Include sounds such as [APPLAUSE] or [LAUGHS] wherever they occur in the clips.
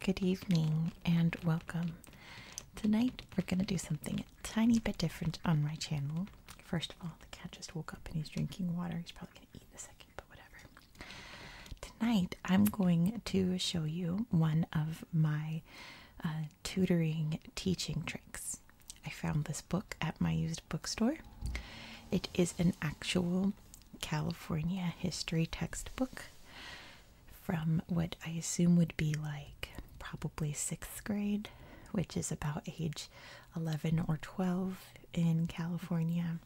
Good evening and welcome. Tonight we're going to do something a tiny bit different on my channel. First of all, the cat just woke up and he's drinking water. He's probably going to eat in a second, but whatever. Tonight I'm going to show you one of my uh, tutoring teaching tricks. I found this book at my used bookstore. It is an actual California history textbook from what I assume would be like probably sixth grade, which is about age 11 or 12 in California,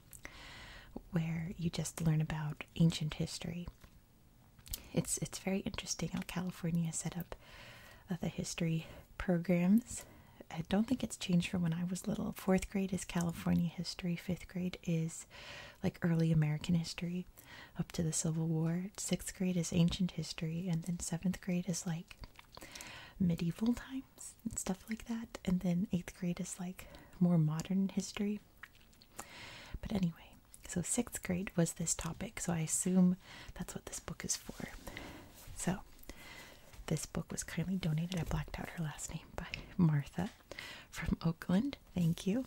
where you just learn about ancient history. It's, it's very interesting how California set up the history programs. I don't think it's changed from when I was little. Fourth grade is California history, fifth grade is like early American history up to the Civil War. Sixth grade is ancient history, and then seventh grade is like medieval times and stuff like that. And then eighth grade is like more modern history. But anyway, so sixth grade was this topic, so I assume that's what this book is for. So this book was kindly donated. I blacked out her last name by Martha from Oakland. Thank you.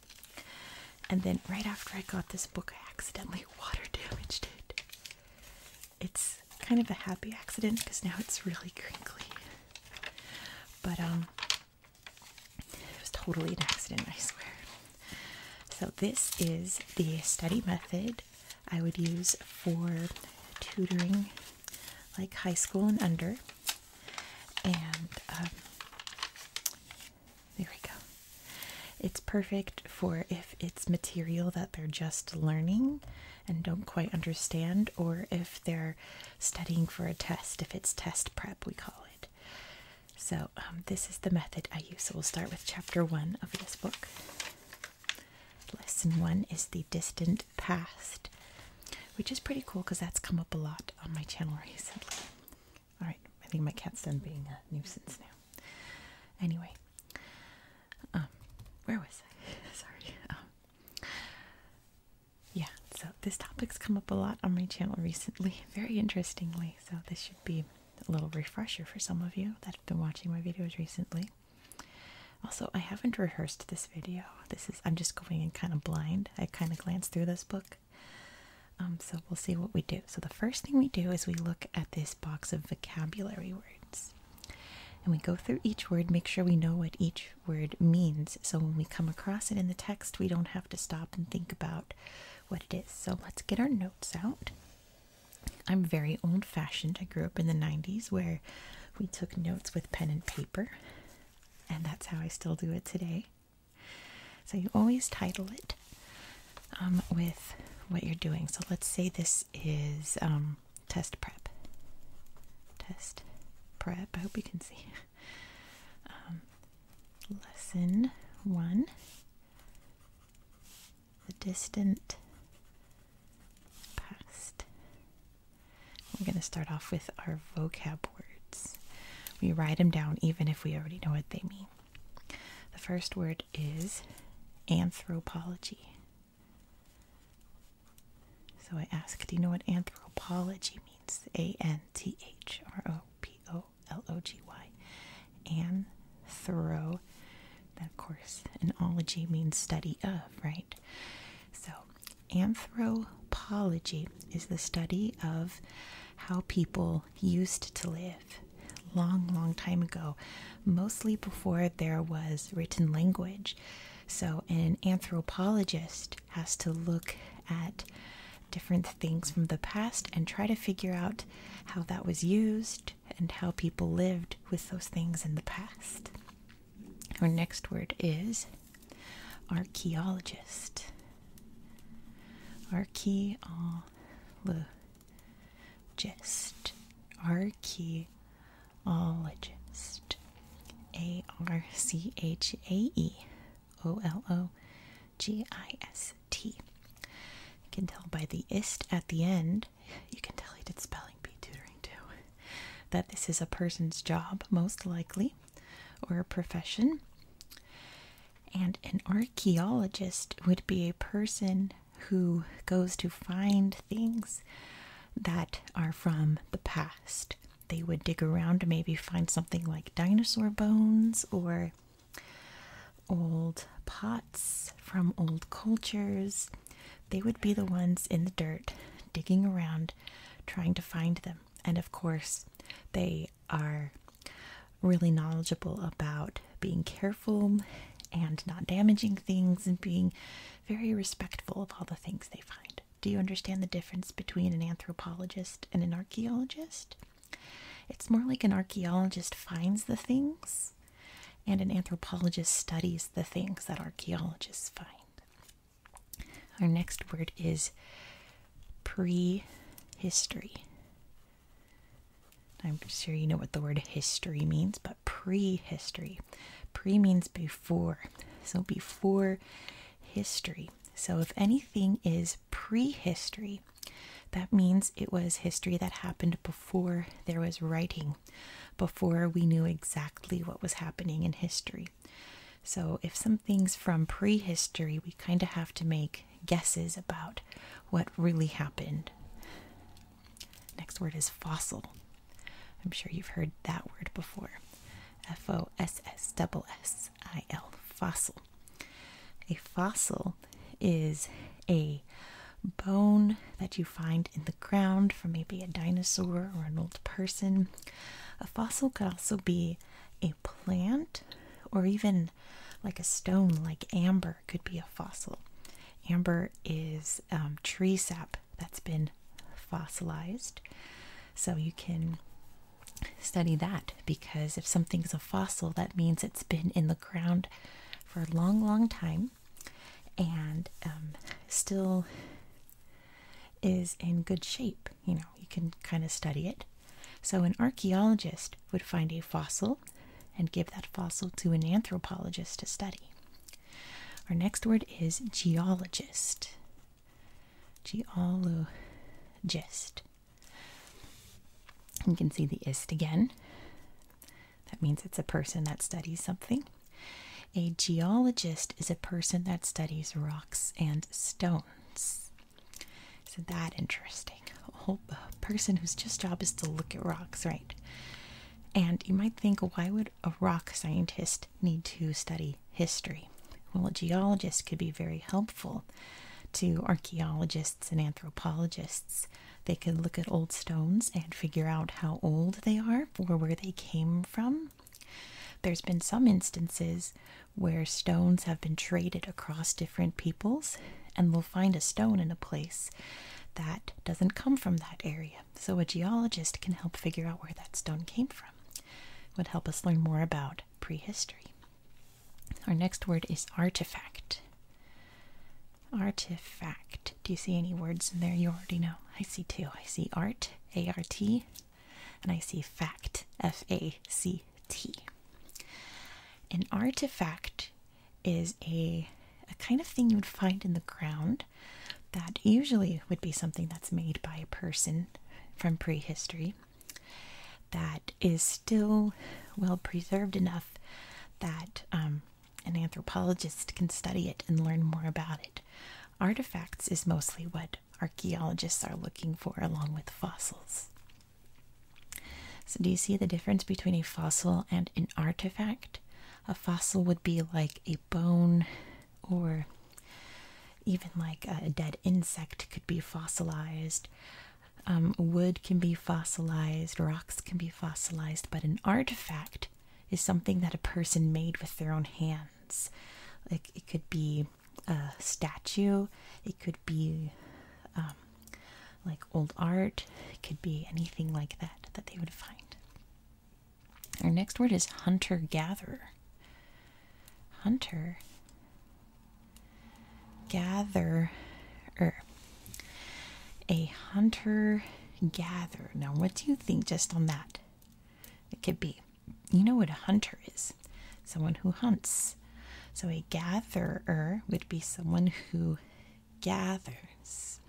And then right after I got this book, I accidentally [LAUGHS] water damaged it. It's kind of a happy accident because now it's really crinkly. But um it was totally an accident, I swear. So this is the study method I would use for tutoring like high school and under. And um, there we go. It's perfect for if it's material that they're just learning and don't quite understand, or if they're studying for a test, if it's test prep, we call it. So, um, this is the method I use. So, we'll start with chapter one of this book. Lesson one is the distant past, which is pretty cool because that's come up a lot on my channel [LAUGHS] recently. All right, I think my cat's done being a nuisance now. Anyway, um, where was I? [LAUGHS] Sorry. Um, yeah, so this topic's come up a lot on my channel recently, [LAUGHS] very interestingly. So this should be a little refresher for some of you that have been watching my videos recently. Also, I haven't rehearsed this video. This is I'm just going in kind of blind. I kind of glanced through this book um, so we'll see what we do. So the first thing we do is we look at this box of vocabulary words. And we go through each word, make sure we know what each word means. So when we come across it in the text, we don't have to stop and think about what it is. So let's get our notes out. I'm very old fashioned. I grew up in the 90s where we took notes with pen and paper, and that's how I still do it today. So you always title it um, with what you're doing. So let's say this is um, test prep. Test prep. I hope you can see. [LAUGHS] Um, lesson one The distant past. We're going to start off with our vocab words. We write them down even if we already know what they mean. The first word is anthropology. So I ask, do you know what anthropology means? A N T H R O P O L O G Y. Anthro. That, of course, an ology means study of, right? So anthropology is the study of how people used to live long, long time ago, mostly before there was written language. So, an anthropologist has to look at different things from the past and try to figure out how that was used and how people lived with those things in the past. Our next word is Archaeologist. Archaeologist. Archaeologist. A R C H A E O L O G I S T. You can tell by the ist at the end, you can tell he did spelling bee tutoring too, that this is a person's job, most likely or a profession. And an archaeologist would be a person who goes to find things that are from the past. They would dig around to maybe find something like dinosaur bones or old pots from old cultures. They would be the ones in the dirt digging around trying to find them. And of course, they are really knowledgeable about being careful and not damaging things and being very respectful of all the things they find. Do you understand the difference between an anthropologist and an archaeologist? It's more like an archaeologist finds the things and an anthropologist studies the things that archaeologists find. Our next word is Pre-history. I'm sure you know what the word history means, but pre-history. Pre means before. So before history. So if anything is pre-history, that means it was history that happened before there was writing, before we knew exactly what was happening in history. So, if something's from prehistory, we kind of have to make guesses about what really happened. Next word is fossil. I'm sure you've heard that word before. F O S S S S I L, fossil. A fossil is a bone that you find in the ground from maybe a dinosaur or an old person. A fossil could also be a plant or even like a stone like amber could be a fossil amber is um, tree sap that's been fossilized so you can study that because if something's a fossil that means it's been in the ground for a long long time and um, still is in good shape you know, you can kind of study it. So, an archaeologist would find a fossil and give that fossil to an anthropologist to study. Our next word is geologist. Geologist. You can see the ist again. That means it's a person that studies something. A geologist is a person that studies rocks and stones. Isn't that interesting? A [LAUGHS] person whose just job is to look at rocks, right? And you might think, why would a rock scientist need to study history? Well, a geologist could be very helpful to archaeologists and anthropologists. They could look at old stones and figure out how old they are or where they came from. There's been some instances where stones have been traded across different peoples, and they'll find a stone in a place that doesn't come from that area. So, a geologist can help figure out where that stone came from. would help us learn more about prehistory. Our next word is artifact. Artifact. Do you see any words in there you already know? I see two. I see art, A R T, and I see fact, F A C T. An artifact is a, a kind of thing you would find in the ground that usually would be something that's made by a person from prehistory that is still well preserved enough that um, an anthropologist can study it and learn more about it. Artifacts is mostly what archaeologists are looking for, along with fossils. So, do you see the difference between a fossil and an artifact? A fossil would be like a bone, or even like a dead insect could be fossilized. Um, wood can be fossilized, rocks can be fossilized, but an artifact is something that a person made with their own hands. Like it could be a statue, it could be um, like old art, it could be anything like that that they would find. Our next word is hunter gatherer. Hunter gatherer. A hunter gatherer. Now, what do you think just on that? It could be. You know what a hunter is? someone who hunts. So a gatherer would be someone who gathers.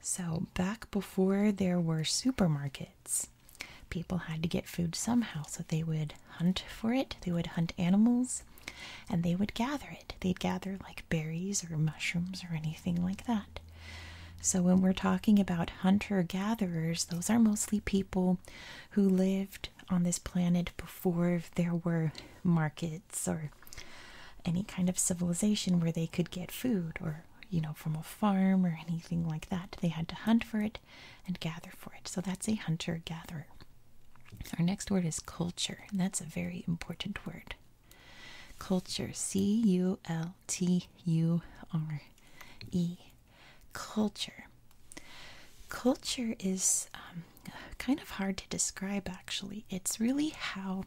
So back before there were supermarkets, people had to get food somehow. So they would hunt for it, they would hunt animals, and they would gather it. They'd gather like berries or mushrooms or anything like that. So, when we're talking about hunter gatherers, those are mostly people who lived on this planet before there were markets or any kind of civilization where they could get food or you know from a farm or anything like that they had to hunt for it and gather for it so that's a hunter gatherer our next word is culture and that's a very important word culture c u l t u r e culture. Culture is um, kind of hard to describe, actually. It's really how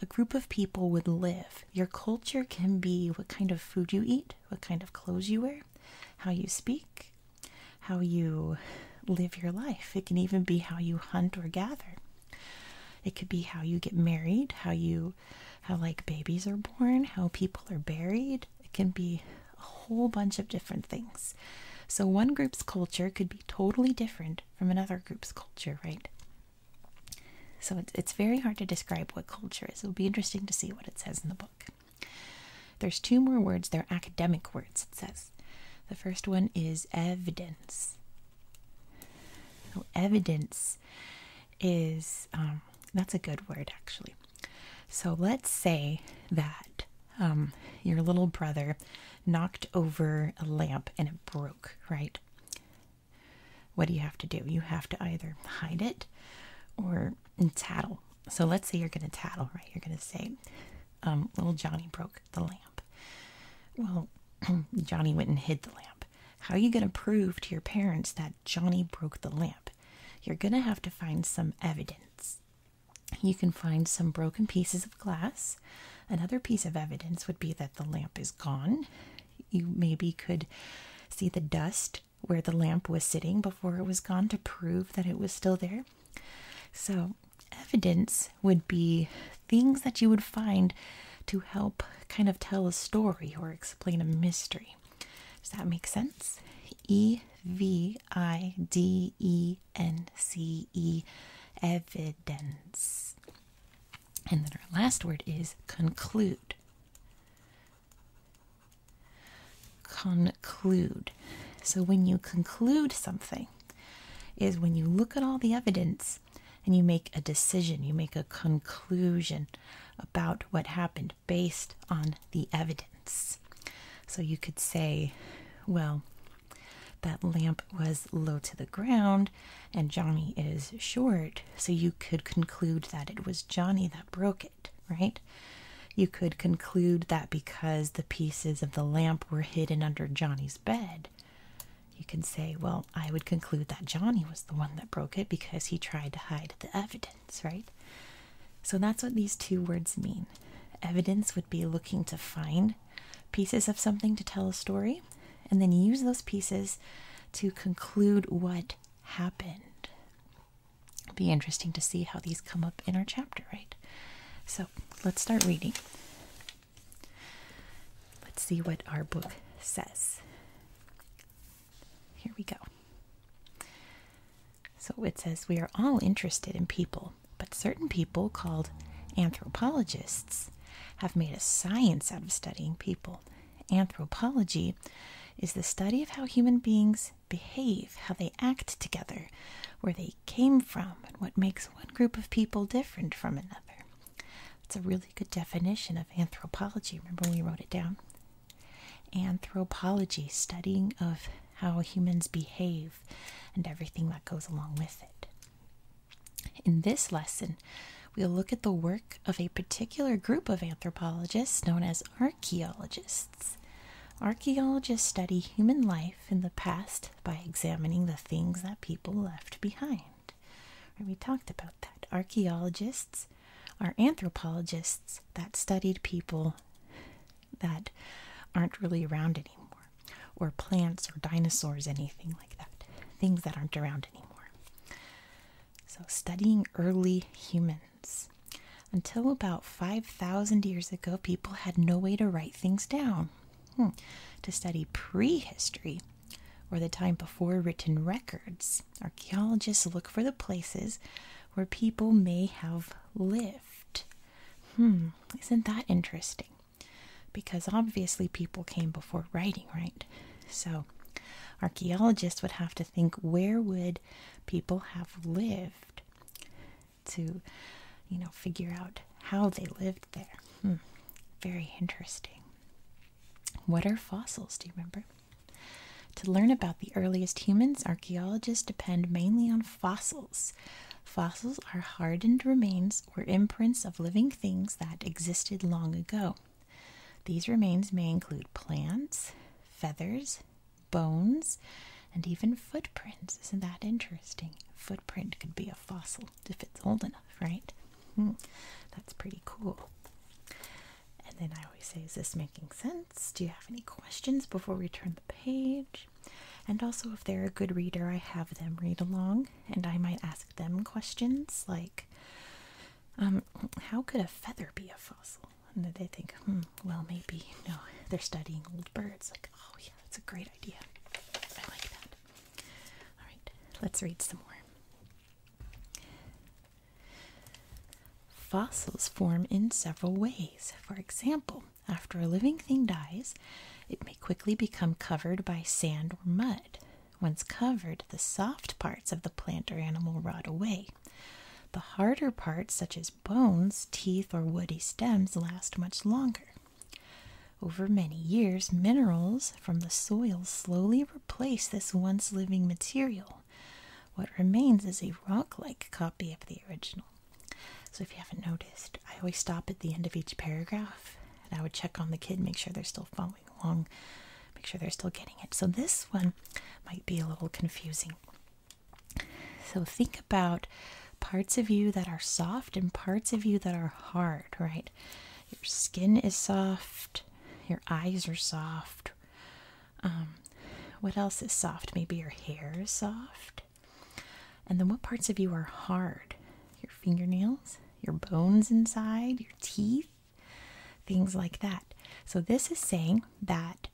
a group of people would live. Your culture can be what kind of food you eat, what kind of clothes you wear, how you speak, how you live your life. It can even be how you hunt or gather. It could be how you get married, how you how like babies are born, how people are buried. It can be a whole bunch of different things. So, one group's culture could be totally different from another group's culture, right? So, it's, it's very hard to describe what culture is. It'll be interesting to see what it says in the book. There's two more words, they're academic words, it says. The first one is evidence. So, evidence is, um, that's a good word actually. So let's say that um, your little brother knocked over a lamp and it broke, right? What do you have to do? You have to either hide it or tattle. So let's say you're going to tattle, right? You're going to say, um, Little Johnny broke the lamp. Well, [CLEARS THROAT] Johnny went and hid the lamp. How are you going to prove to your parents that Johnny broke the lamp? You're going to have to find some evidence. You can find some broken pieces of glass. Another piece of evidence would be that the lamp is gone. You maybe could see the dust where the lamp was sitting before it was gone to prove that it was still there. So, evidence would be things that you would find to help kind of tell a story or explain a mystery. Does that make sense? E V I D E N C E, evidence. And then our last word is conclude. Conclude. So when you conclude something, is when you look at all the evidence and you make a decision, you make a conclusion about what happened based on the evidence. So you could say, well, that lamp was low to the ground and Johnny is short. So you could conclude that it was Johnny that broke it, right? You could conclude that because the pieces of the lamp were hidden under Johnny's bed. You can say, well, I would conclude that Johnny was the one that broke it because he tried to hide the evidence, right? So that's what these two words mean. Evidence would be looking to find pieces of something to tell a story and then use those pieces to conclude what happened. Be interesting to see how these come up in our chapter, right? So let's start reading. Let's see what our book says. Here we go. So it says we are all interested in people, but certain people called anthropologists have made a science out of studying people. Anthropology is the study of how human beings behave, how they act together, where they came from, and what makes one group of people different from another. It's a really good definition of anthropology. Remember we wrote it down? Anthropology, studying of how humans behave and everything that goes along with it. In this lesson, we'll look at the work of a particular group of anthropologists known as archaeologists. Archaeologists study human life in the past by examining the things that people left behind. We talked about that. Archaeologists are anthropologists that studied people that aren't really around anymore, or plants or dinosaurs, anything like that. Things that aren't around anymore. So, studying early humans. Until about 5,000 years ago, people had no way to write things down. Hmm, to study prehistory, or the time before written records, archaeologists look for the places where people may have lived. Hmm, isn't that interesting? Because obviously people came before writing, right? So archaeologists would have to think where would people have lived to, you know, figure out how they lived there. Hmm, very interesting. What are fossils? Do you remember? To learn about the earliest humans, archaeologists depend mainly on fossils, Fossils are hardened remains or imprints of living things that existed long ago. These remains may include plants, feathers, bones, and even footprints. Isn't that interesting? Footprint could be a fossil if it's old enough, right? Hmm. That's pretty cool. And then I always say, is this making sense? Do you have any questions before we turn the page? And also, if they're a good reader, I have them read along and I might ask them questions like, um, how could a feather be a fossil? And they think, hmm, well, maybe, no, they're studying old birds. Like, oh, yeah, that's a great idea. I like that. All right, let's read some more. Fossils form in several ways. For example, after a living thing dies, it may quickly become covered by sand or mud. Once covered, the soft parts of the plant or animal rot away. The harder parts, such as bones, teeth, or woody stems, last much longer. Over many years, minerals from the soil slowly replace this once living material. What remains is a rock like copy of the original. So if you haven't noticed, I always stop at the end of each paragraph and I would check on the kid, make sure they're still following along, make sure they're still getting it. So this one might be a little confusing. So think about parts of you that are soft and parts of you that are hard, right? Your skin is soft, your eyes are soft. Um, what else is soft? Maybe your hair is soft. And then what parts of you are hard? Your fingernails, your bones inside, your teeth, things like that. So, this is saying that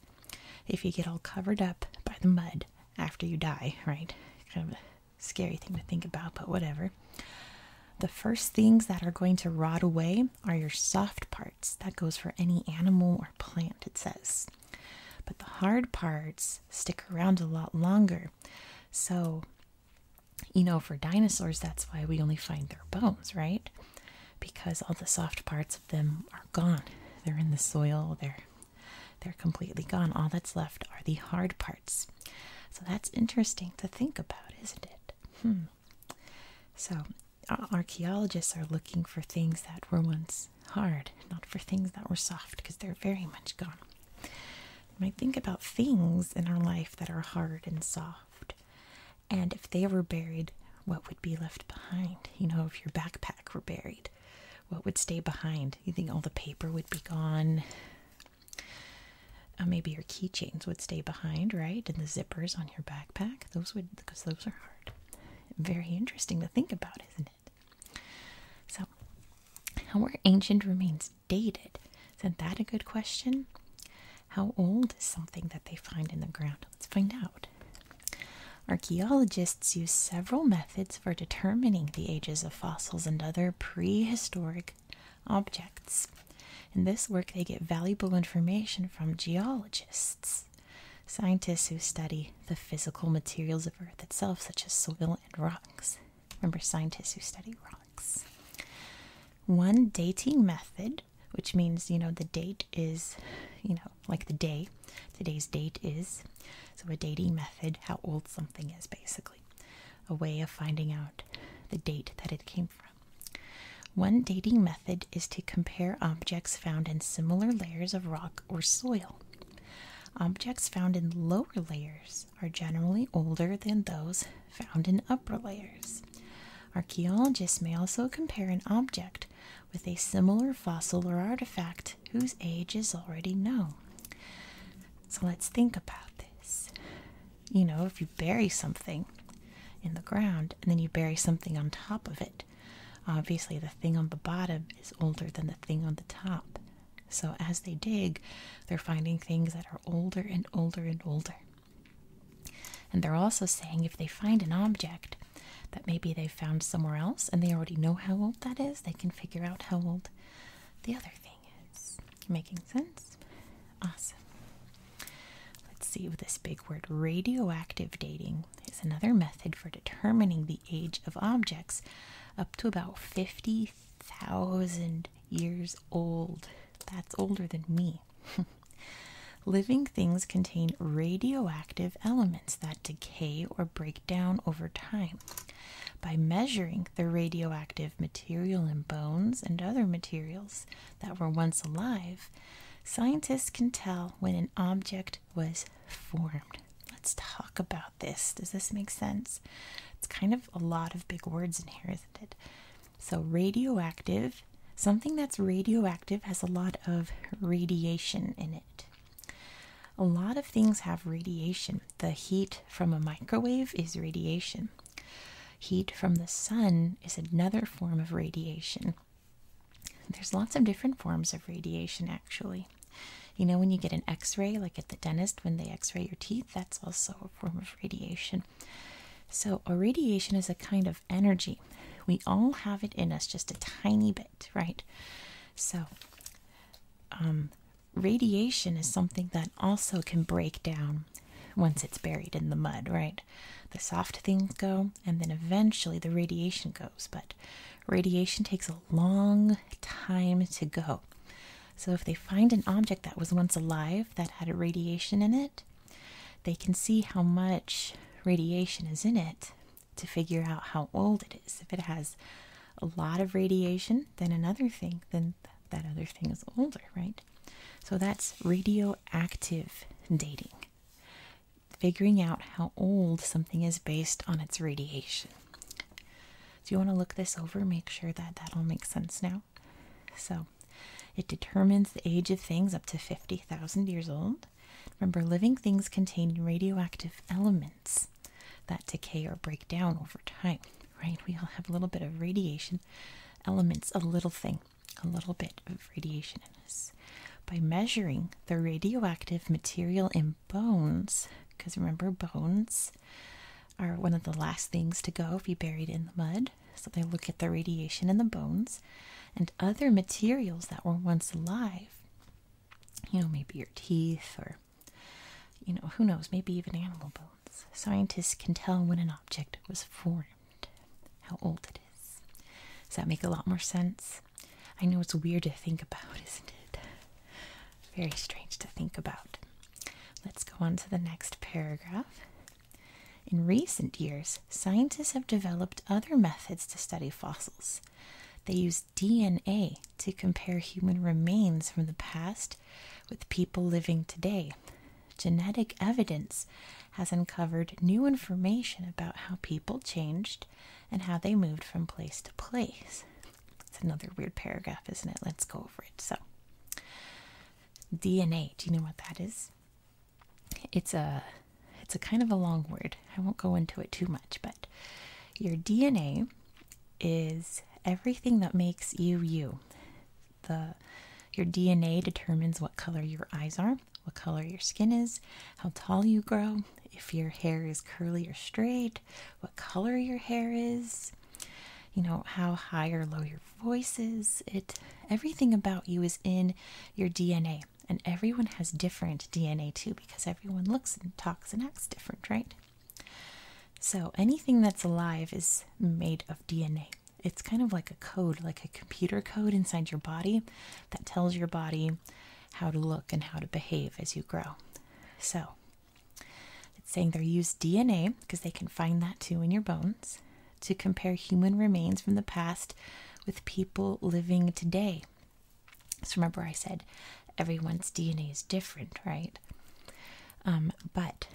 if you get all covered up by the mud after you die, right? Kind of a scary thing to think about, but whatever. The first things that are going to rot away are your soft parts. That goes for any animal or plant, it says. But the hard parts stick around a lot longer. So, you know, for dinosaurs, that's why we only find their bones, right? Because all the soft parts of them are gone. They're in the soil, they're they're completely gone. All that's left are the hard parts. So that's interesting to think about, isn't it? Hmm. So, archaeologists are looking for things that were once hard, not for things that were soft, because they're very much gone. We might think about things in our life that are hard and soft, and if they were buried, what would be left behind? You know, if your backpack were buried, what would stay behind? You think all the paper would be gone? Uh, maybe your keychains would stay behind, right? And the zippers on your backpack, those would, because those are hard. Very interesting to think about, isn't it? So, how are ancient remains dated? Isn't that a good question? How old is something that they find in the ground? Let's find out. Archaeologists use several methods for determining the ages of fossils and other prehistoric objects. In this work, they get valuable information from geologists, scientists who study the physical materials of Earth itself, such as soil rocks. Remember, scientists who study rocks. One dating method, which means, you know, the date is, you know, like the day, today's date is. So, a dating method, how old something is, basically. A way of finding out the date that it came from. One dating method is to compare objects found in similar layers of rock or soil. Objects found in lower layers are generally older than those found in upper layers. Archaeologists may also compare an object with a similar fossil or artifact whose age is already known. So let's think about this. You know, if you bury something in the ground and then you bury something on top of it, obviously the thing on the bottom is older than the thing on the top. So as they dig, they're finding things that are older and older and older. And they're also saying if they find an object that maybe they found somewhere else and they already know how old that is, they can figure out how old the other thing is. Making sense? Awesome. Let's see with this big word radioactive dating is another method for determining the age of objects up to about 50,000 years old. That's older than me. [LAUGHS] Living things contain radioactive elements that decay or break down over time. By measuring the radioactive material in bones and other materials that were once alive, scientists can tell when an object was formed. Let's talk about this. Does this make sense? It's kind of a lot of big words in here, isn't it? So, radioactive, something that's radioactive has a lot of radiation in it. A lot of things have radiation. The heat from a microwave is radiation. Heat from the sun is another form of radiation. There's lots of different forms of radiation, actually. You know, when you get an x ray, like at the dentist, when they x ray your teeth, that's also a form of radiation. So, a radiation is a kind of energy. We all have it in us just a tiny bit, right? So, um, radiation is something that also can break down once it's buried in the mud, right? The soft things go, and then eventually the radiation goes. But Radiation takes a long time to go. So, if they find an object that was once alive that had radiation in it, they can see how much radiation is in it to figure out how old it is. If it has a lot of radiation, then another thing, then that other thing is older, right? So that's radioactive dating, figuring out how old something is based on its radiation. Do you want to look this over, make sure that that will make sense now. So it determines the age of things up to 50,000 years old. Remember, living things contain radioactive elements that decay or break down over time, right? We all have a little bit of radiation elements, a little thing, a little bit of radiation in us. By measuring the radioactive material in bones because remember bones are one of the last things to go if you are buried in the mud so they look at the radiation in the bones and other materials that were once alive you know maybe your teeth or you know who knows maybe even animal bones scientists can tell when an object was formed how old it is does that make a lot more sense i know it's weird to think about [LAUGHS] isn't it very strange to think about. Let's go on to the next paragraph. In recent years, scientists have developed other methods to study fossils. They use DNA to compare human remains from the past with people living today. Genetic evidence has uncovered new information about how people changed and how they moved from place to place. It's another weird paragraph, isn't it? Let's go over it. So, DNA. Do you know what that is? It's a it's a kind of a long word. I won't go into it too much, but your DNA is everything that makes you you. The your DNA determines what color your eyes are, what color your skin is, how tall you grow, if your hair is curly or straight, what color your hair is, you know, how high or low your voice is. It everything about you is in your DNA. And everyone has different DNA too because everyone looks and talks and acts different, right? So anything that's alive is made of DNA. It's kind of like a code, like a computer code inside your body that tells your body how to look and how to behave as you grow. So it's saying they're used DNA because they can find that too in your bones to compare human remains from the past with people living today. So remember, I said everyone's DNA is different, right? Um, but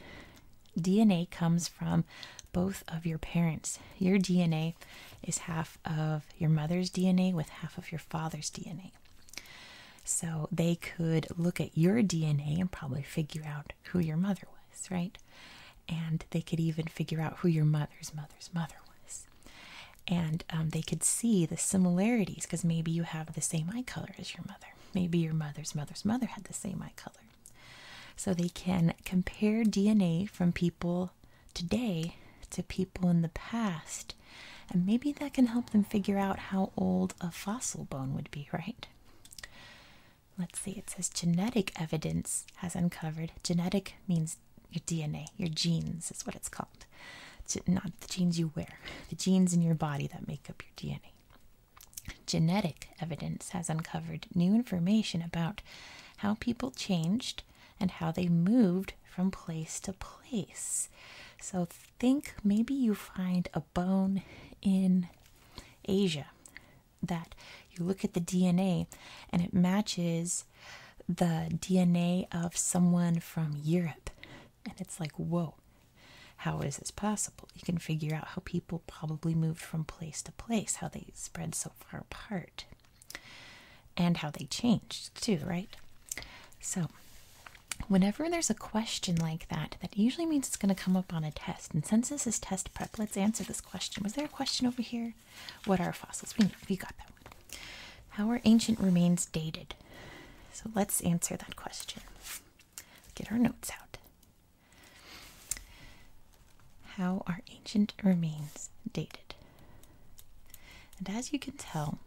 DNA comes from both of your parents. Your DNA is half of your mother's DNA with half of your father's DNA. So they could look at your DNA and probably figure out who your mother was, right? And they could even figure out who your mother's mother's mother was. And um, they could see the similarities because maybe you have the same eye color as your mother. Maybe your mother's mother's mother had the same eye color. So they can compare DNA from people today to people in the past and maybe that can help them figure out how old a fossil bone would be, right? Let's see, it says genetic evidence has uncovered. Genetic means your DNA, your genes is what it's called. not the jeans you wear, the genes in your body that make up your DNA. Genetic evidence has uncovered new information about how people changed and how they moved from place to place. So think maybe you find a bone in Asia that you look at the DNA and it matches the DNA of someone from Europe. And it's like, whoa, how is this possible? You can figure out how people probably moved from place to place, how they spread so far apart, and how they changed too, right? So whenever there's a question like that, that usually means it's going to come up on a test. And since this is test prep, let's answer this question. Was there a question over here? What are fossils? We, we got that one. How are ancient remains dated? So let's answer that question. Get our notes out. How are ancient remains dated? And as you can tell,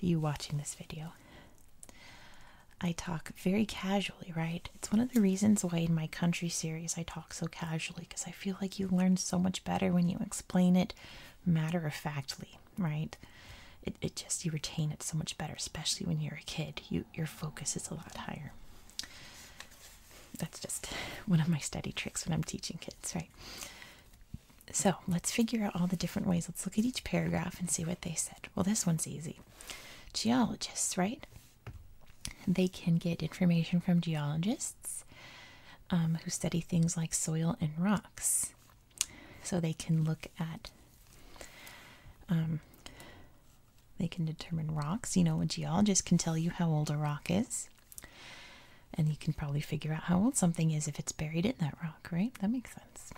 you watching this video. I talk very casually, right? It's one of the reasons why in my country series I talk so casually because I feel like you learn so much better when you explain it matter of factly, right? It, it just, you retain it so much better, especially when you're a kid. You, your focus is a lot higher. That's just [LAUGHS] one of my study tricks when I'm teaching kids, right? So let's figure out all the different ways. Let's look at each paragraph and see what they said. Well, this one's easy. Geologists, right? They can get information from geologists um, who study things like soil and rocks. So they can look at, um, they can determine rocks. You know, a geologist can tell you how old a rock is. And you can probably figure out how old something is if it's buried in that rock rock, right? That makes sense.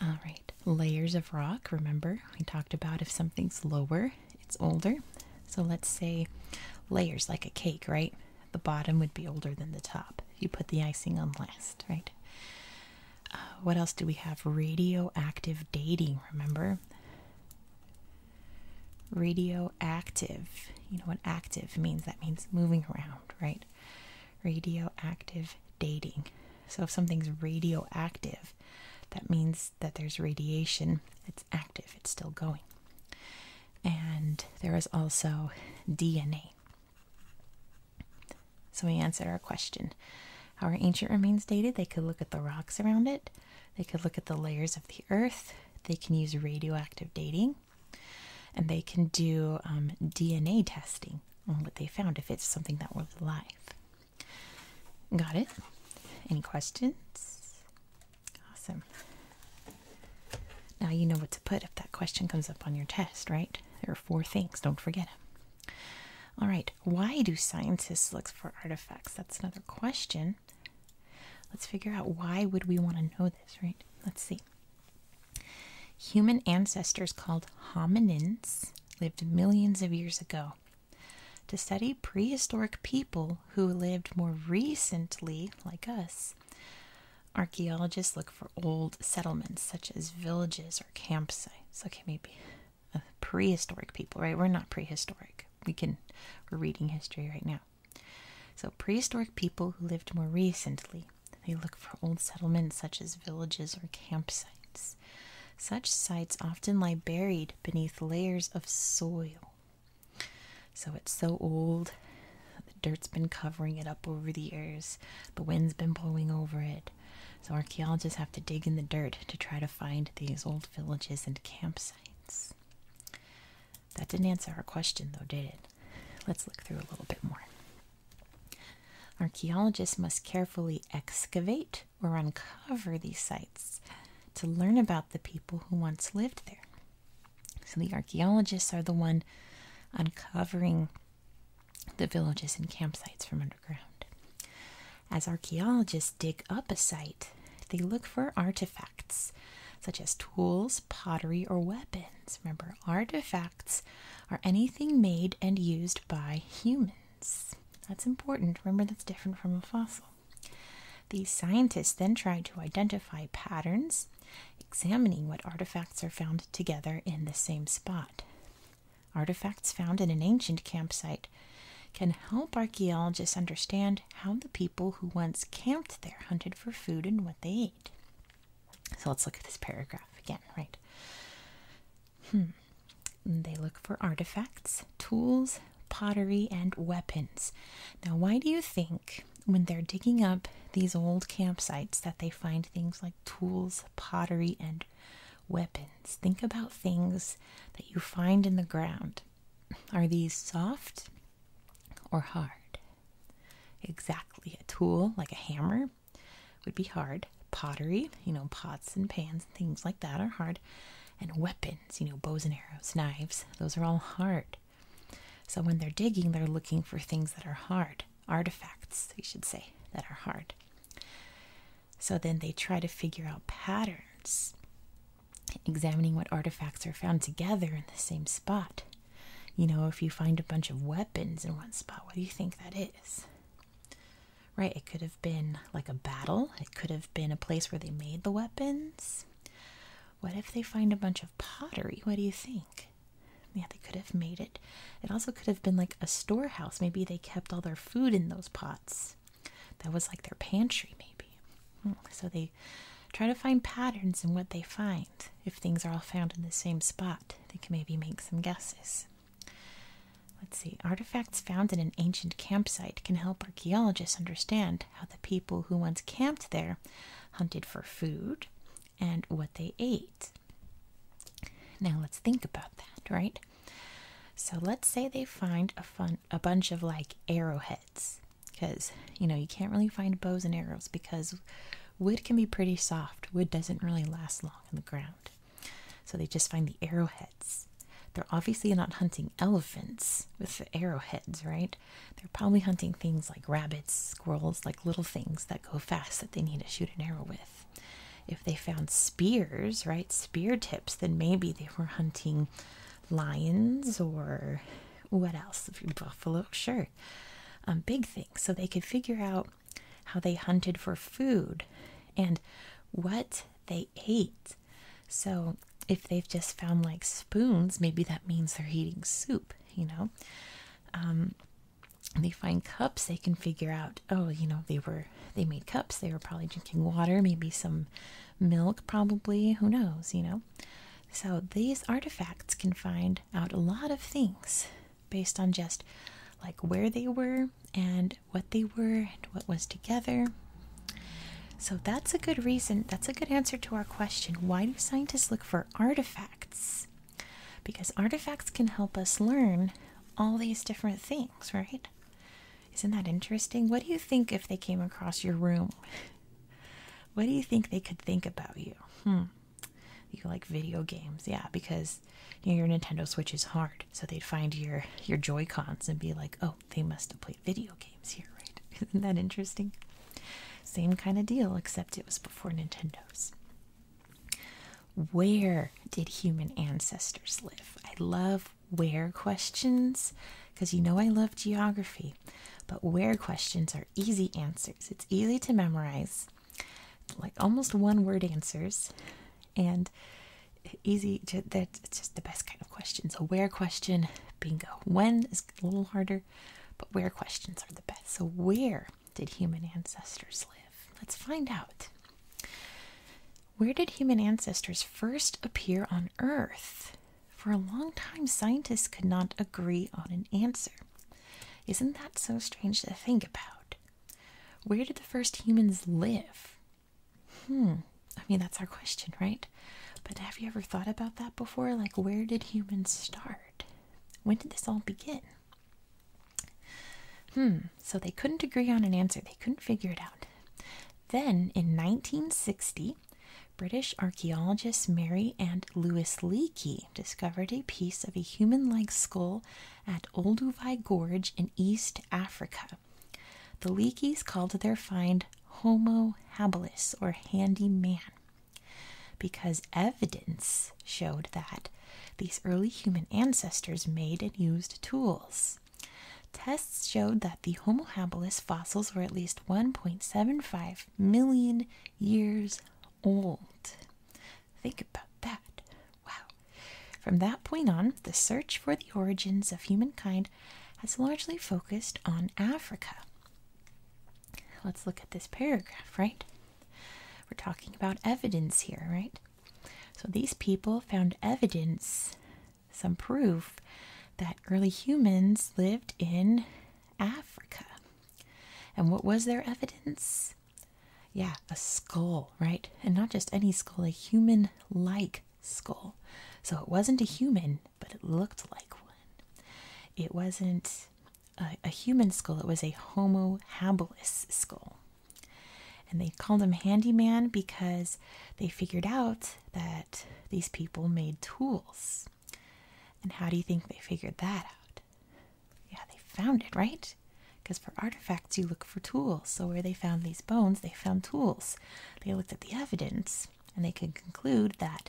All right, layers of rock. Remember, we talked about if something's lower, it's older. So let's say layers like a cake, right? The bottom would be older than the top. You put the icing on last, right? Uh, what else do we have? Radioactive dating, remember? Radioactive. You know what active means? That means moving around, right? radioactive dating. So if something's radioactive, that means that there's radiation, it's active, it's still going. And there is also DNA. So we answered our question. How are ancient remains dated? They could look at the rocks around it, they could look at the layers of the earth, they can use radioactive dating, and they can do um, DNA testing on what they found if it's something that was alive. Got it? Any questions? Awesome. Now you know what to put if that question comes up on your test, right? There are four things, don't forget All right, why do scientists look for artifacts? That's another question. Let's figure out why would we want to know this, right? Let's see. Human ancestors called hominins lived millions of years ago. To study prehistoric people who lived more recently, like us, archaeologists look for old settlements such as villages or campsites. Okay, maybe uh, prehistoric people, right? We're not prehistoric. We can we're reading history right now. So prehistoric people who lived more recently. They look for old settlements such as villages or campsites. Such sites often lie buried beneath layers of soil. So it's so old, the dirt's been covering it up over the years, the wind's been blowing over it. So archaeologists have to dig in the dirt to try to find these old villages and campsites. That didn't answer our question, though, did it? Let's look through a little bit more. Archaeologists must carefully excavate or uncover these sites to learn about the people who once lived there. So the archaeologists are the one uncovering the villages and campsites from underground. As archaeologists dig up a site, they look for artifacts such as tools, pottery, or weapons. Remember, artifacts are anything made and used by humans. That's important. Remember, that's different from a fossil. These scientists then try to identify patterns, examining what artifacts are found together in the same spot. Artifacts found in an ancient campsite can help archaeologists understand how the people who once camped there hunted for food and what they ate. So let's look at this paragraph again, right? Hmm. They look for artifacts, tools, pottery, and weapons. Now, why do you think when they're digging up these old campsites that they find things like tools, pottery, and weapons? Think about things that you find in the ground. Are these soft or hard? Exactly. A tool like a hammer would be hard. Pottery, you know, pots and pans and things like that are hard. And weapons, you know, bows and arrows, knives, those are all hard. So when they're digging, they're looking for things that are hard, artifacts, we should say, that are hard. So then they try to figure out patterns, examining what artifacts are found together in the same spot. You know, if you find a bunch of weapons in one spot, what do you think that is? Right? It could have been like a battle, it could have been a place where they made the weapons. What if they find a bunch of pottery? What do you think? Yeah, they could have made it. It also could have been like a storehouse. Maybe they kept all their food in those pots. That was like their pantry, maybe. Hmm, so they try to find patterns in what they find. If things are all found in the same spot, they can maybe make some guesses. Let's see. Artifacts found in an ancient campsite can help archaeologists understand how the people who once camped there hunted for food and what they ate. Now let's think about that, right? So let's say they find a fun a bunch of like arrowheads because you know you can't really find bows and arrows because Wood can be pretty soft. Wood doesn't really last long in the ground. So they just find the arrowheads. They're obviously not hunting elephants with arrowheads, right? They're probably hunting things like rabbits, squirrels, like little things that go fast that they need to shoot an arrow with. If they found spears, right, spear tips, then maybe they were hunting lions or what else? Buffalo, sure. Um, big things. So they could figure out how they hunted for food, and what they ate. So, if they've just found like spoons, maybe that means they're eating soup, you know. Um, they find cups, they can figure out, oh, you know, they were they made cups, they were probably drinking water, maybe some milk, probably, who knows, you know. So, these artifacts can find out a lot of things based on just like where they were and what they were and what was together. So that's a good reason, that's a good answer to our question why do scientists look for artifacts? Because artifacts can help us learn all these different things, right? Isn't that interesting? What do you think if they came across your room? [LAUGHS] What do you think they could think about you? Hmm you like video games, yeah, because your Nintendo Switch is hard, so they'd find your your Joy Cons and be like, oh, they must have played video games here, right? [LAUGHS] Isn't that interesting? Same kind of deal, except it was before Nintendo's. Where did human ancestors live? I love where questions because you know I love geography, but where questions are easy answers. It's easy to memorize like almost one word answers and easy that's just the best kind of questions. so where question bingo when is a little harder but where questions are the best so where did human ancestors live let's find out where did human ancestors first appear on earth for a long time scientists could not agree on an answer isn't that so strange to think about where did the first humans live? Hmm, I mean, that's our question, right? But have you ever thought about that before? Like, where did humans start? When did this all begin? Hmm, so they couldn't agree on an answer, they couldn't figure it out. Then in 1960, British archaeologists Mary and Louis Leakey discovered a piece of a human like skull at Olduvai Gorge in East Africa. The Leakeys called their find Homo habilis, or handy man, because evidence showed that these early human ancestors made and used tools. Tests showed that the Homo habilis fossils were at least 1.75 million years old. Think about that. Wow. From that point on, the search for the origins of humankind has largely focused on Africa. Let's look at this paragraph, right? We're talking about evidence here, right? So these people found evidence, some proof that early humans lived in Africa. And what was their evidence? Yeah, a skull, right? And not just any skull, a human like skull. So it wasn't a human, but it looked like one. It wasn't a, human skull, it was a Homo habilis skull. And they called him Handyman because they figured out that these people made tools. And how do you think they figured that out? Yeah, they found it, right? Because for artifacts, you look for tools. So, where they found these bones, they found tools. They looked at the evidence and they could conclude that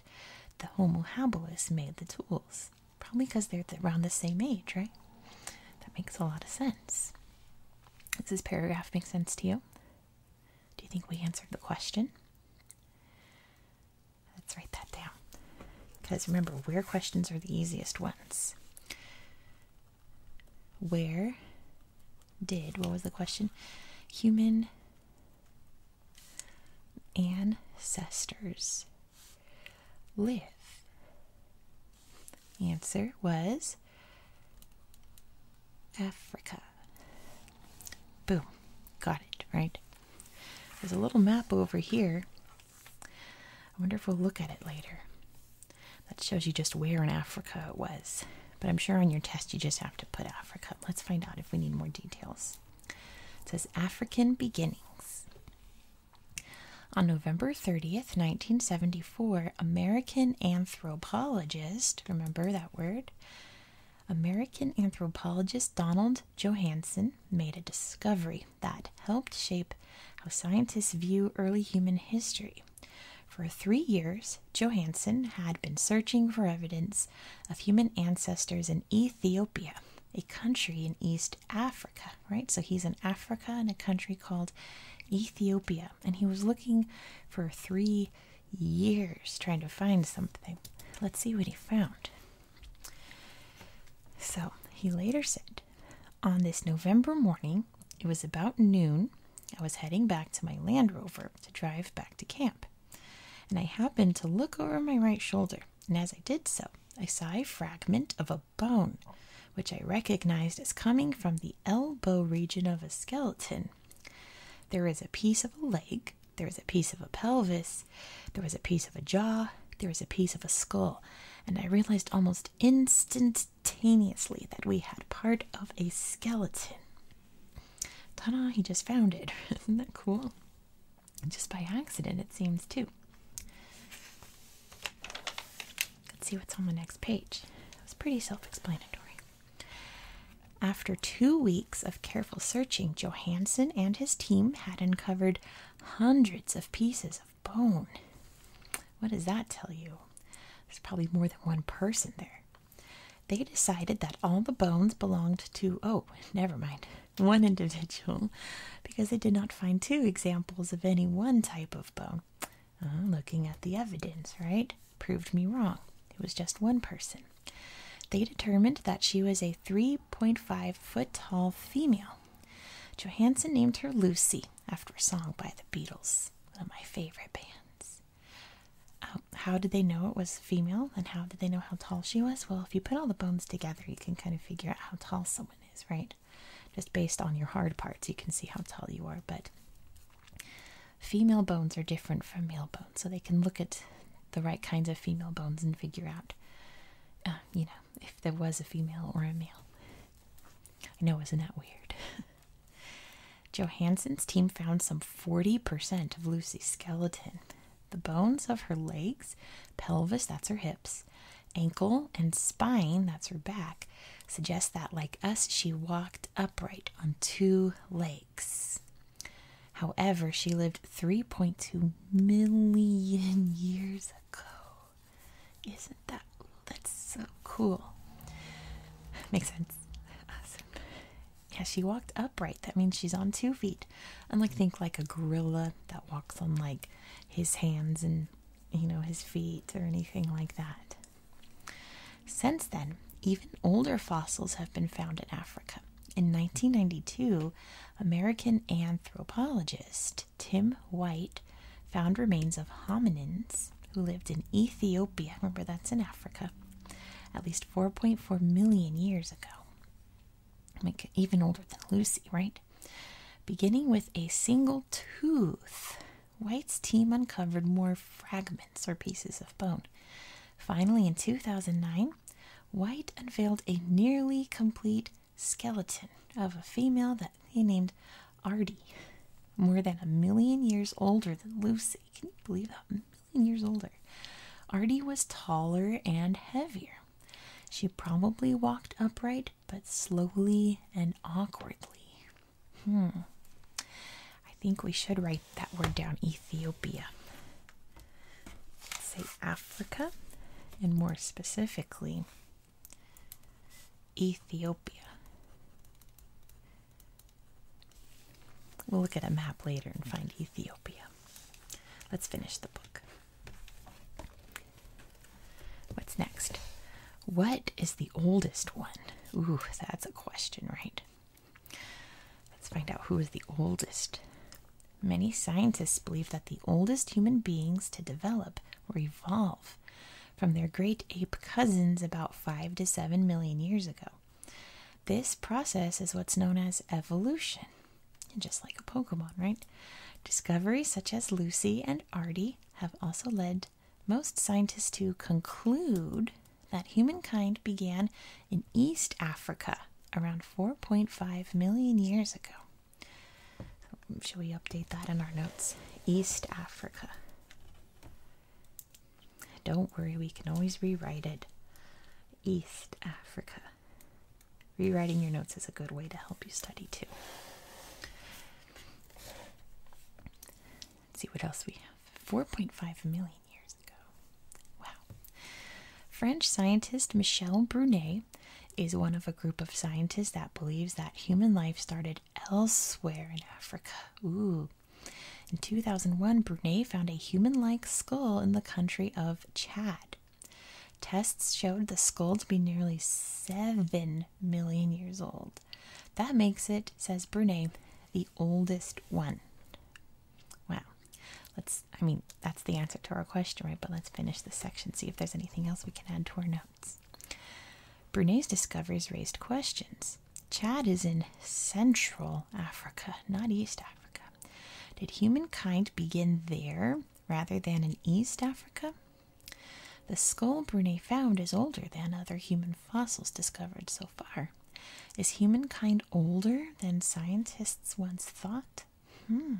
the Homo habilis made the tools. Probably because they're around the same age, right? That makes a lot of sense. Does this paragraph make sense to you? Do you think we answered the question? Let's write that down. Because remember, where questions are the easiest ones. Where did, what was the question? Human ancestors live? Answer was Africa. Boom. Got it, right? There's a little map over here I wonder if we'll look at it later. That shows you just where in Africa it was. But I'm sure on your test you just have to put Africa. Let's find out if we need more details. It says African Beginnings. On November 30th, 1974, American anthropologist, remember that word? American anthropologist Donald Johanson made a discovery that helped shape how scientists view early human history. For three years, Johansen had been searching for evidence of human ancestors in Ethiopia, a country in East Africa, right? So he's in Africa in a country called Ethiopia, and he was looking for three years trying to find something. Let's see what he found. So he later said on this November morning, it was about noon, I was heading back to my Land Rover to drive back to camp. And I happened to look over my right shoulder, and as I did so, I saw a fragment of a bone, which I recognized as coming from the elbow region of a skeleton. There is a piece of a leg, There is a piece of a pelvis, There is a piece of a jaw, There is a piece of a skull, and I realized almost instantaneously that we had part of a skeleton. Ta da, he just found it. [LAUGHS] Isn't that cool? Just by accident, it seems, too. Let's see what's on the next page. It's pretty self explanatory. After two weeks of careful searching, Johansen and his team had uncovered hundreds of pieces of bone. What does that tell you? There's probably more than one person there. They decided that all the bones belonged to, oh, never mind, [LAUGHS] one individual, because they did not find two examples of any one type of bone. Uh, looking at the evidence, right? Proved me wrong. It was just one person. They determined that she was a 3.5 foot tall female. Johansen named her Lucy after a song by the Beatles, one of my favorite bands. Um, how did they know it was female and how did they know how tall she was? Well, if you put all the bones together, you can kind of figure out how tall someone is, right? Just based on your hard parts, you can see how tall you are, but female bones are different from male bones, so they can look at the right kinds of female bones and figure out, uh, you know, if there was a female or a male. I know, isn't that weird? [LAUGHS] Johansson's team found some 40% of Lucy's skeleton. The bones of her legs, pelvis, that's her hips, ankle, and spine, that's her back, suggest that, like us, she walked upright on two legs. However, she lived 3.2 million years ago. Isn't that that's so cool? Makes sense. Awesome. Yeah, she walked upright. That means she's on two feet. Unlike think like a gorilla that walks on like his hands and you know his feet or anything like that. Since then, even older fossils have been found in Africa. In 1992, American anthropologist Tim White found remains of hominins who lived in Ethiopia. Remember, that's in Africa. At least 4.4 million years ago. Like even older than Lucy, right? Beginning with a single tooth, White's team uncovered more fragments or pieces of bone. Finally, in 2009, White unveiled a nearly complete skeleton of a female that he named Artie, more than a million years older than Lucy. Can you believe that? A million years older. Artie was taller and heavier. She probably walked upright, but slowly and awkwardly. Hmm. I think we should write that word down Ethiopia. say Africa, and more specifically, Ethiopia. We'll look at a map later and find Ethiopia. Let's finish the book. What's next? What is the oldest one? Ooh, that's a question, right? Let's find out who is the oldest. Many scientists believe that the oldest human beings to develop or evolve from their great ape cousins about 5 to 7 million years ago. This process is what's known as evolution, and just like a Pokemon, right? Discoveries such as Lucy and Ardi have also led most scientists to conclude that humankind began in East Africa around 4.5 million years ago. Should we update that in our notes? East Africa. Don't worry, we can always rewrite it. East Africa. Rewriting your notes is a good way to help you study too. Let's see what else we have. 4.5 million years ago. Wow. French scientist Michel Brunet is one of a group of scientists that believes that human life started elsewhere in Africa. In 2001, Brunei found a human like skull in the country of Chad. Tests showed the skull to be nearly 7 million years old. That makes it, says Brunei, the oldest one. Wow. Let's, I mean, that's the answer to our question, right? But let's finish this section, see if there's anything else we can add to our note notes. Brunei's discoveries raised questions. Chad is in Central Africa, not East Africa. Did humankind begin there rather than in East Africa? The skull Brunei found is older than other human fossils discovered so far. Is humankind older than scientists once thought? Hmm.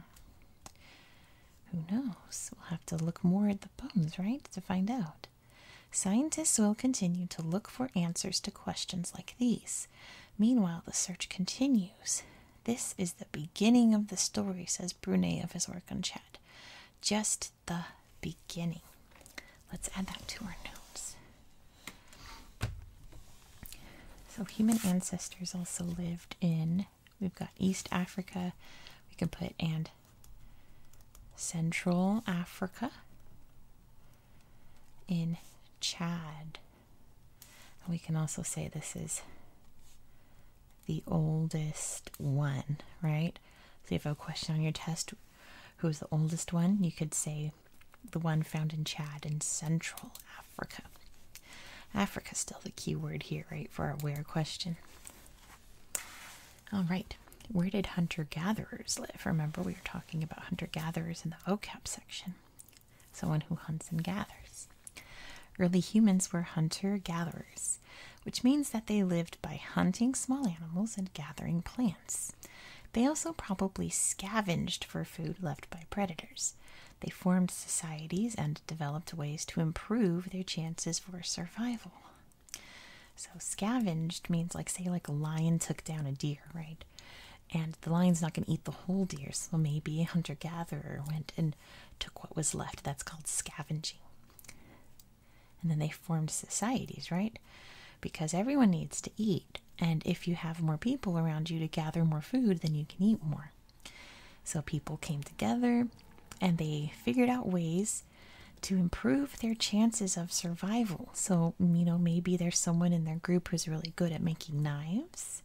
Who knows? We'll have to look more at the bones, right, to find out. Scientists will continue to look for answers to questions like these. Meanwhile, the search continues. This is the beginning of the story, says Brunet of his work on Chad. Just the beginning. Let's add that to our notes. So, human ancestors also lived in, we've got East Africa, we can put and Central Africa, in Chad. we can also say this is the oldest one, right? So if you have a question on your test, who's the oldest one? You could say the one found in Chad in Central Africa. Africa is still the key word here, right, for a where question. All right. Where did hunter gatherers live? Remember, we were talking about hunter gatherers in the vocab section. Someone who hunts and gathers. Early humans were hunter gatherers, which means that they lived by hunting small animals and gathering plants. They also probably scavenged for food left by predators. They formed societies and developed ways to improve their chances for survival. So scavenged means like say like a lion took down a deer, right? And the lion's not going to eat the whole deer, so maybe a hunter gatherer went and took what was left. That's called scavenging. And then they formed societies, right? Because everyone needs to eat. And if you have more people around you to gather more food, then you can eat more. So people came together and they figured out ways to improve their chances of survival. So, you know, maybe there's someone in their group who's really good at making knives.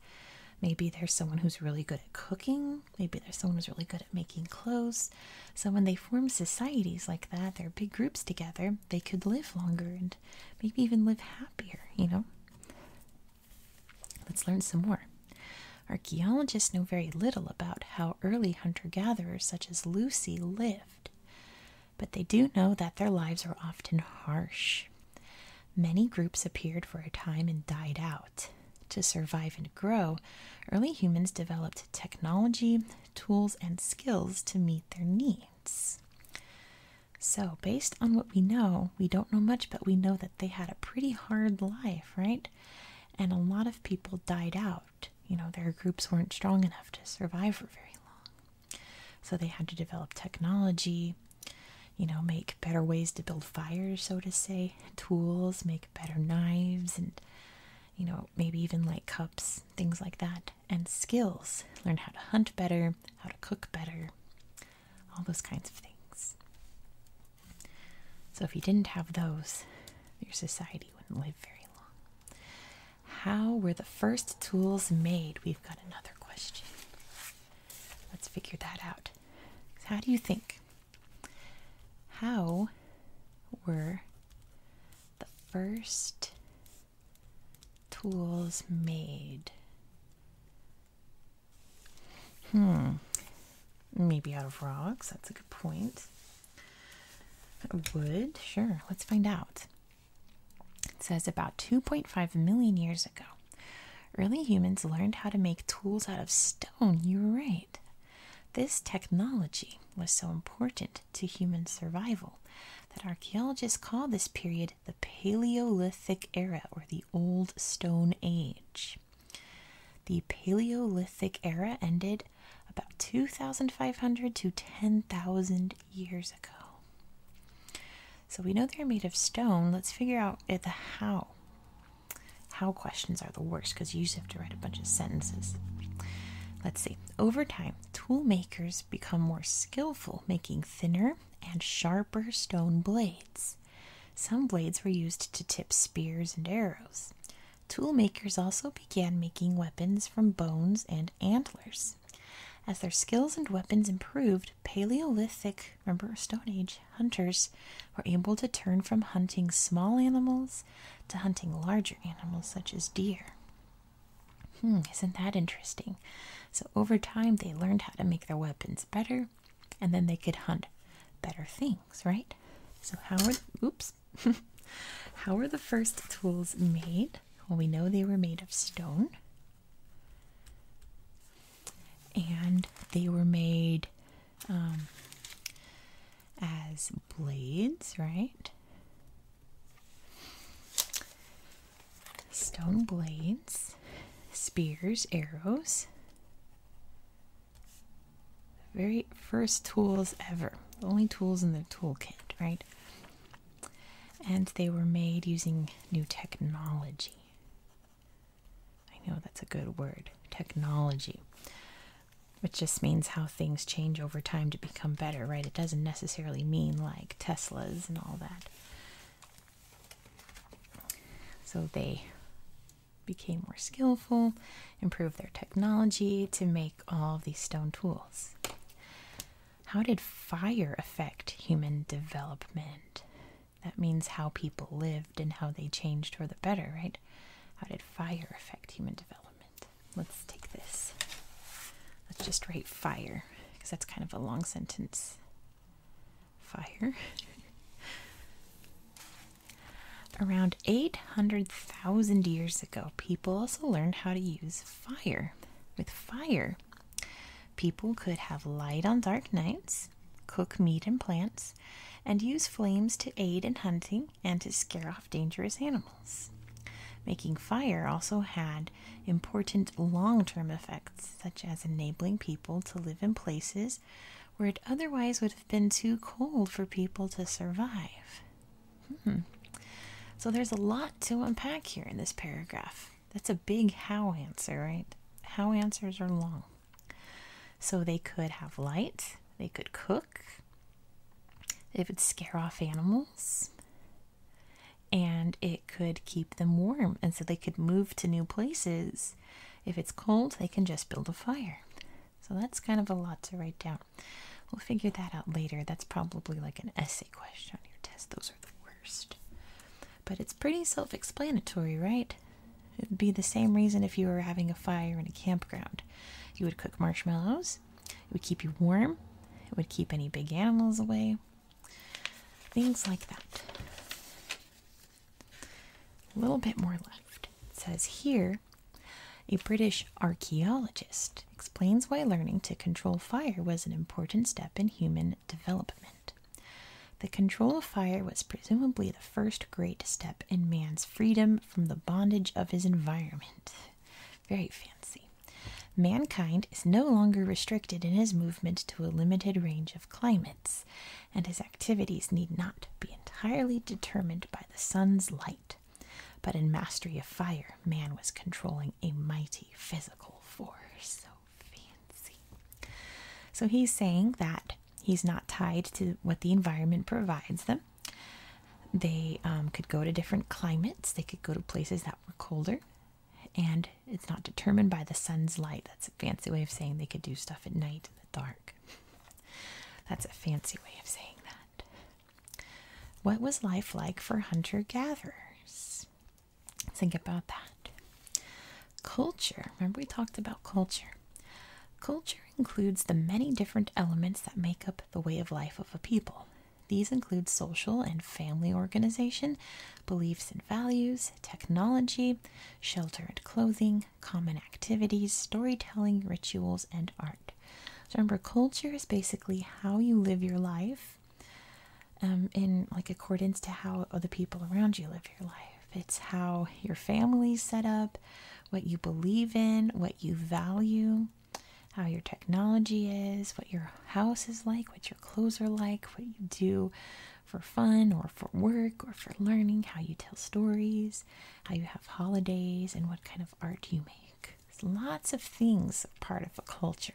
Maybe there's someone who's really good at cooking. Maybe there's someone who's really good at making clothes. So, when they form societies like that, they're big groups together, they could live longer and maybe even live happier, you know? Let's learn some more. Archaeologists know very little about how early hunter gatherers such as Lucy lived, but they do know that their lives were often harsh. Many groups appeared for a time and died out. To survive and grow, early humans developed technology, tools, and skills to meet their needs. So, based on what we know, we don't know much, but we know that they had a pretty hard life, right? And a lot of people died out you know, their groups weren't strong enough to survive for very long. So they had to develop technology, you know, make better ways to build fires, so to say, [LAUGHS] tools, make better knives, and, you know, maybe even like cups, things like that. And skills learn how to hunt better, how to cook better, all those kinds of things. So if you didn't have those, your society wouldn't live very long. How were the first tools made? We've got another question. Let's figure that out. How do you think? How were the first tools made? Hmm. Maybe out of rocks. That's a good point. Would? Sure, let's find out. It says about 2.5 million years ago, early humans learned how to make tools out of stone. You are right. This technology was so important to human survival that archaeologists call this period the Paleolithic Era or the Old Stone Age. The Paleolithic Era ended about 2,500 to 10,000 years ago. So we know they're made of stone. Let's figure out the how. How questions are the worst because you just have to write a bunch of sentences. Let's see. Over time, tool makers become more skillful, making thinner and sharper stone blades. Some blades were used to tip spears and arrows. Tool makers also began making weapons from bones and antlers. As their skills and weapons improved, Paleolithic, remember Stone Age, hunters were able to turn from hunting small animals to hunting larger animals such as deer. Hmm, isn't that interesting? So, over time, they learned how to make their weapons better and then they could hunt better things, right? So, how are, oops, [LAUGHS] How were the first tools made? Well, we know they were made of stone. And they were made um, as blades, right? Stone blades, spears, arrows, very first tools ever. only tools in their toolkit, right? And they were made using new technology. I know that's a good word, technology, which just means how things change over time to become better, right? It doesn't necessarily mean like Teslas and all that. So they became more skillful improve their technology to make all of these stone tools. How did fire affect human development? That means how people lived and how they changed for the better, right? How did fire affect human development? Let's take this. Let's just write fire because that's kind of a long sentence. Fire. [LAUGHS] Around 800,000 years ago, people also learned how to use fire. With fire, people could have light on dark nights, cook meat and plants, and use flames to aid in hunting and to scare off dangerous animals. Making fire also had important long term effects, such as enabling people to live in places where it otherwise would have been too cold for people to survive. Hmm. So there's a lot to unpack here in this paragraph. That's a big how answer, right? How answers are long. So they could have light, they could cook, They would scare off animals, and it could keep them warm. And so they could move to new places. If it's cold, they can just build a fire. So that's kind of a lot to write down. We'll figure that out later. That's probably like an essay question on your test. Those are the worst. But it's pretty self explanatory, right? It'd be the same reason if you were having a fire in a campground. You would cook marshmallows, it would keep you warm, it would keep any big animals away, things like that. A little bit more left. It says here a British archaeologist explains why learning to control fire was an important step in human development. The control of fire was presumably the first great step in man's freedom from the bondage of his environment. Very fancy. Mankind is no longer restricted in his movement to a limited range of climates, and his activities need not be entirely determined by the sun's light. But in Mastery of Fire, man was controlling a mighty physical force. So fancy. So he's saying that he's not tied to what the environment provides them. They um, could go to different climates, they could go to places that were colder. And it's not determined by the sun's light. That's a fancy way of saying they could do stuff at night in the dark. That's a fancy way of saying that. What was life like for hunter gatherers? Think about that. Culture. Remember, we talked about culture. Culture includes the many different elements that make up the way of life of a people. These include social and family organization, beliefs and values, technology, shelter and clothing, common activities, storytelling, rituals, and art. So remember, culture is basically how you live your life, um, in like accordance to how other people around you live your life. It's how your family's set up, what you believe in, what you value, how your technology is, what your house is like, what your clothes are like, what you do for fun or for work or for learning, how you tell stories, how you have holidays, and what kind of art you make lots of things part of a culture.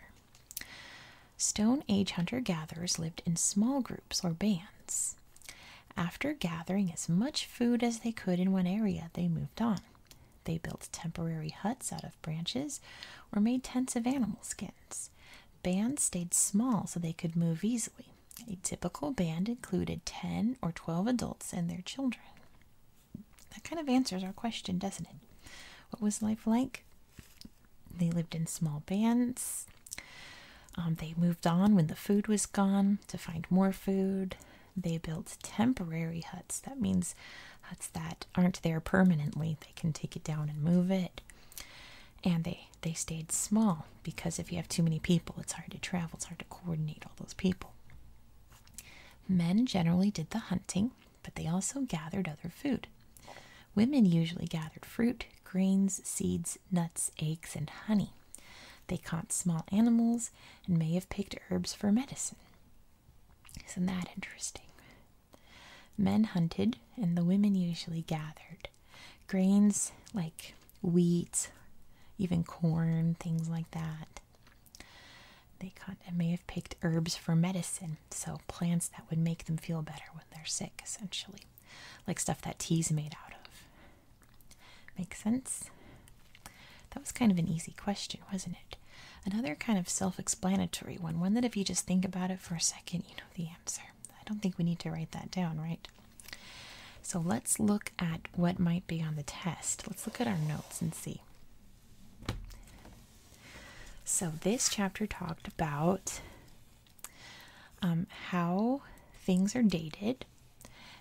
Stone Age hunter gatherers lived in small groups or bands. After gathering as much food as they could in one area, they moved on. They built temporary huts out of branches or made tents of animal skins. Bands stayed small so they could move easily. A typical band included 10 or 12 adults and their children. That kind of answers our question, doesn't it? What was life like? They lived in small bands. Um, they moved on when the food was gone to find more food. They built temporary huts. That means huts that aren't there permanently. They can take it down and move it. And they, they stayed small because if you have too many people, it's hard to travel, it's hard to coordinate all those people. Men generally did the hunting, but they also gathered other food. Women usually gathered fruit, grains, seeds, nuts, eggs, and honey. They caught small animals and may have picked herbs for medicine. Isn't that interesting? Men hunted, and the women usually gathered grains like wheat, even corn, things like that. They may have picked herbs for medicine, so plants that would make them feel better when they're sick, essentially, like stuff that tea's made out of. Makes sense? That was kind of an easy question, wasn't it? Another kind of self explanatory one, one that if you just think about it for a second, you know the answer. I don't think we need to write that down, right? So let's look at what might be on the test. Let's look at our notes and see. So, this chapter talked about um, how things are dated,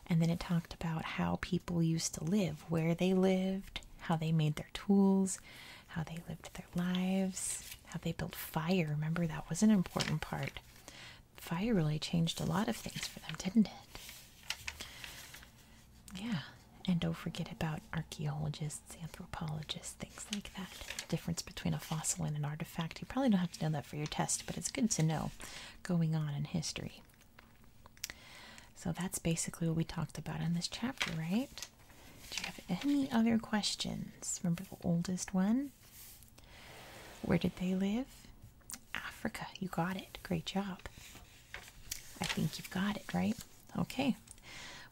and then it talked about how people used to live, where they lived, how they made their tools, how they lived their lives, how they built fire. Remember, that was an important part. Fire really changed a lot of things for them, didn't it? Yeah, and don't forget about archaeologists, anthropologists, things like that. difference between a fossil and an artifact. You probably don't have to know that for your test, but it's good to know going on in history. So that's basically what we talked about in this chapter, right? Do you have any other questions? Remember the oldest one? Where did they live? Africa. You got it. Great job. I think you've got it, right? Okay.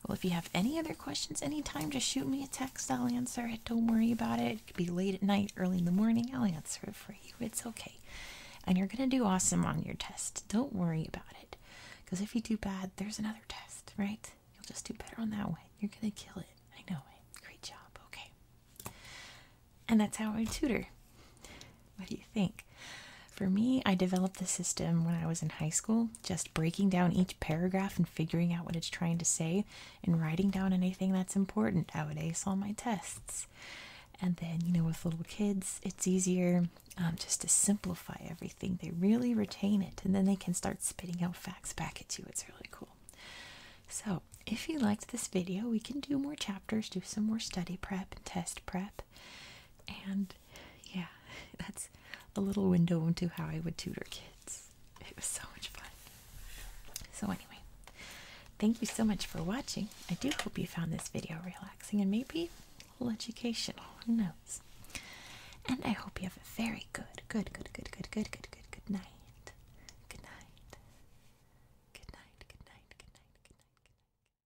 Well, if you have any other questions anytime, just shoot me a text. I'll answer it. Don't worry about it. It could be late at night, early in the morning. I'll answer it for you. It's okay. And you're going to do awesome on your test. Don't worry about it. Because if you do bad, there's another test, right? You'll just do better on that one. You're going to kill it. I know it. Great job. Okay. And that's how I tutor what do you think? For me, I developed the system when I was in high school, just breaking down each paragraph and figuring out what it's trying to say and writing down anything that's important. Nowadays, on my tests. And then, you know, with little kids, it's easier um, just to simplify everything. They really retain it and then they can start spitting out facts back at you. It's really cool. So, if you liked this video, we can do more chapters, do some more study prep and test prep. And yeah, [LAUGHS] that's a little window into how I would tutor kids. It was so much fun. So, anyway, thank you so much for watching. I do hope you found this video relaxing and maybe a little educational. Who knows? And I hope you have a very good, good, good, good, good, good, good, good, good Good night. Good night. Good night. Good night. Good night. Good night.